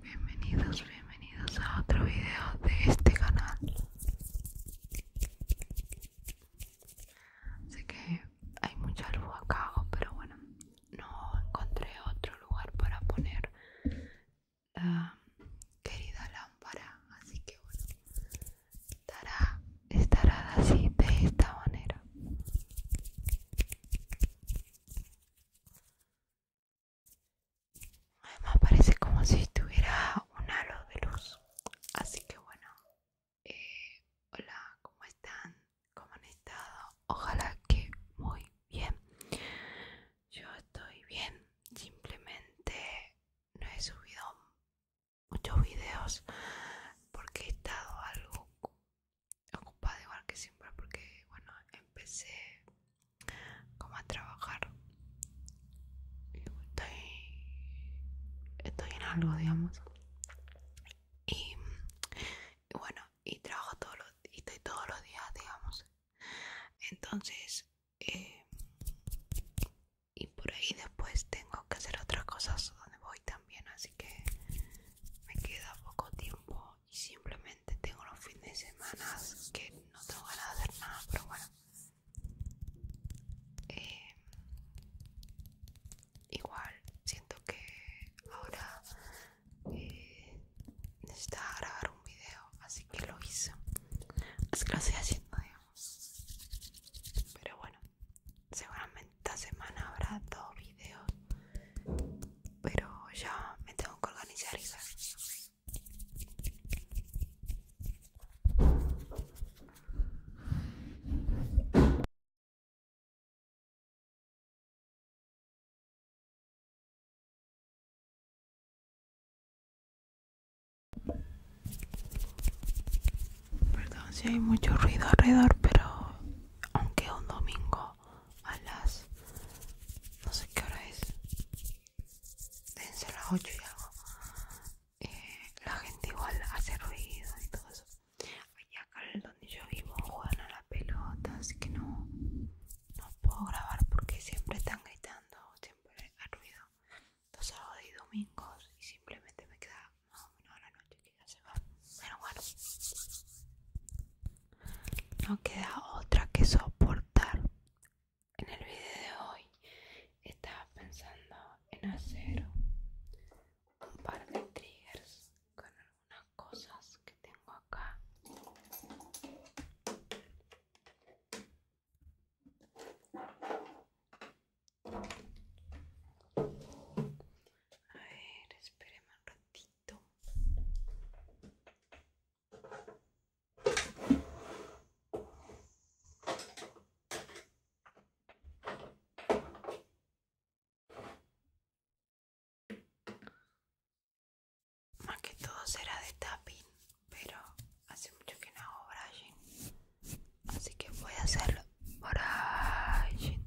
Bienvenidos, bienvenidos a otro video de este canal. Sé que hay mucha luz acá, pero bueno, no encontré otro lugar para poner la querida lámpara así que bueno estará estará así de esta manera además parece como si tuviera un halo de luz así que bueno eh, hola cómo están como han estado ojalá que muy bien yo estoy bien simplemente no he subido muchos videos porque he estado algo ocupada igual que siempre porque bueno empecé como a trabajar estoy estoy en algo digamos y y bueno y trabajo todos los y todos los días digamos entonces eh, y por ahí después tengo que hacer otras cosas donde voy también así que me queda poco tiempo y simplemente tengo los fines de semana que no tengo ganas de hacer nada pero bueno eh, igual siento que ahora eh, necesitaba grabar un video, así que lo hice. Así que lo estoy haciendo, digamos. Pero bueno, seguramente esta semana habrá dos videos. Pero ya me tengo que organizar y ver. Perdón si hay mucho ruido alrededor, pero aunque es un domingo a las no sé qué hora es, dense a las 8 y algo, eh, la gente igual hace ruido y todo eso donde yo vivo juegan a la pelota, así que no, no puedo grabar porque siempre están gritando, siempre hay ruido los sábados y domingos y simplemente me queda más o menos la noche que ya se va. Pero bueno, no queda otra que soportar. En el video de hoy estaba pensando en hacer un par de triggers con unas cosas que tengo acá a ver, esperemos un ratito más que todo será de tapping, pero hace mucho que no hago brushing. Así que voy a hacerlo. Brushing.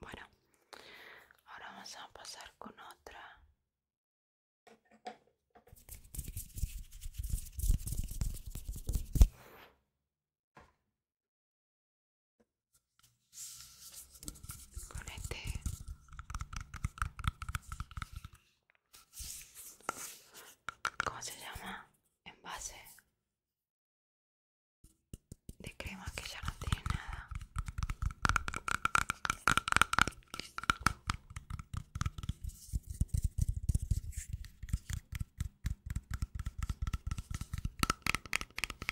Bueno, ahora vamos a pasar con otra con este ¿cómo se llama? envase de crema que ya no tiene nada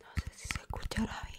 No sé si se escuchará bien.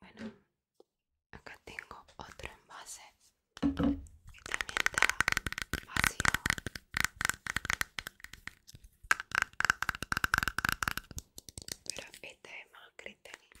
Bueno, acá tengo otro envase que también está vacío. Pero este es más cristalino.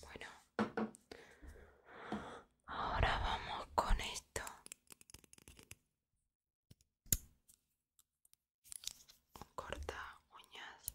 Bueno, ahora vamos con esto. Corta uñas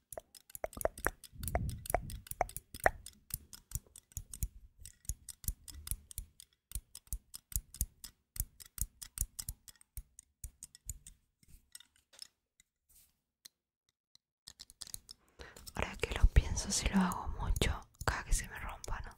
Ahora que lo pienso, si lo hago mucho, cada que se me rompa, ¿no?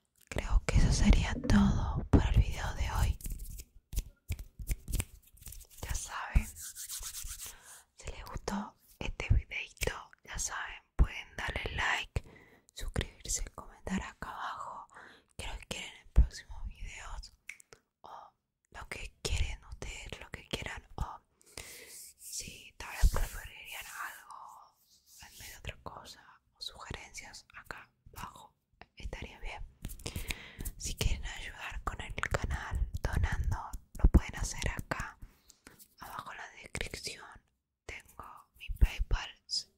creo que eso sería todo para el video de hoy. Ya saben, si les gustó este videito, ya saben, pueden darle like, suscribirse, comentar acá abajo qué lo quieren en próximos videos o lo que quieren ustedes, lo que quieran o si tal vez preferirían algo en vez de otra cosa o sugerencias acá bajo estaría bien si quieren ayudar con el canal donando lo pueden hacer acá abajo en la descripción tengo mi paypal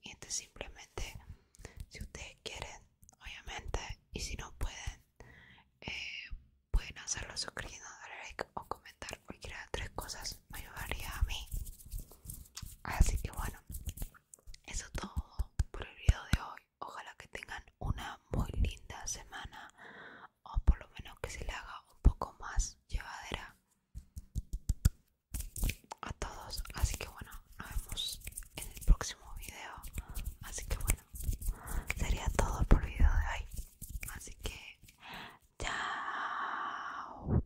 y este simplemente si ustedes quieren obviamente y si no pueden eh, pueden hacerlo suscribiendo darle like o comentar cualquiera de tres cosas me ayudaría a mí así que bueno eso todo por el video de hoy. Ojalá que tengan una muy linda semana o por lo menos que se le haga un poco más llevadera a todos. Así que bueno, nos vemos en el próximo video. Así que bueno, sería todo por el video de hoy. Así que chao.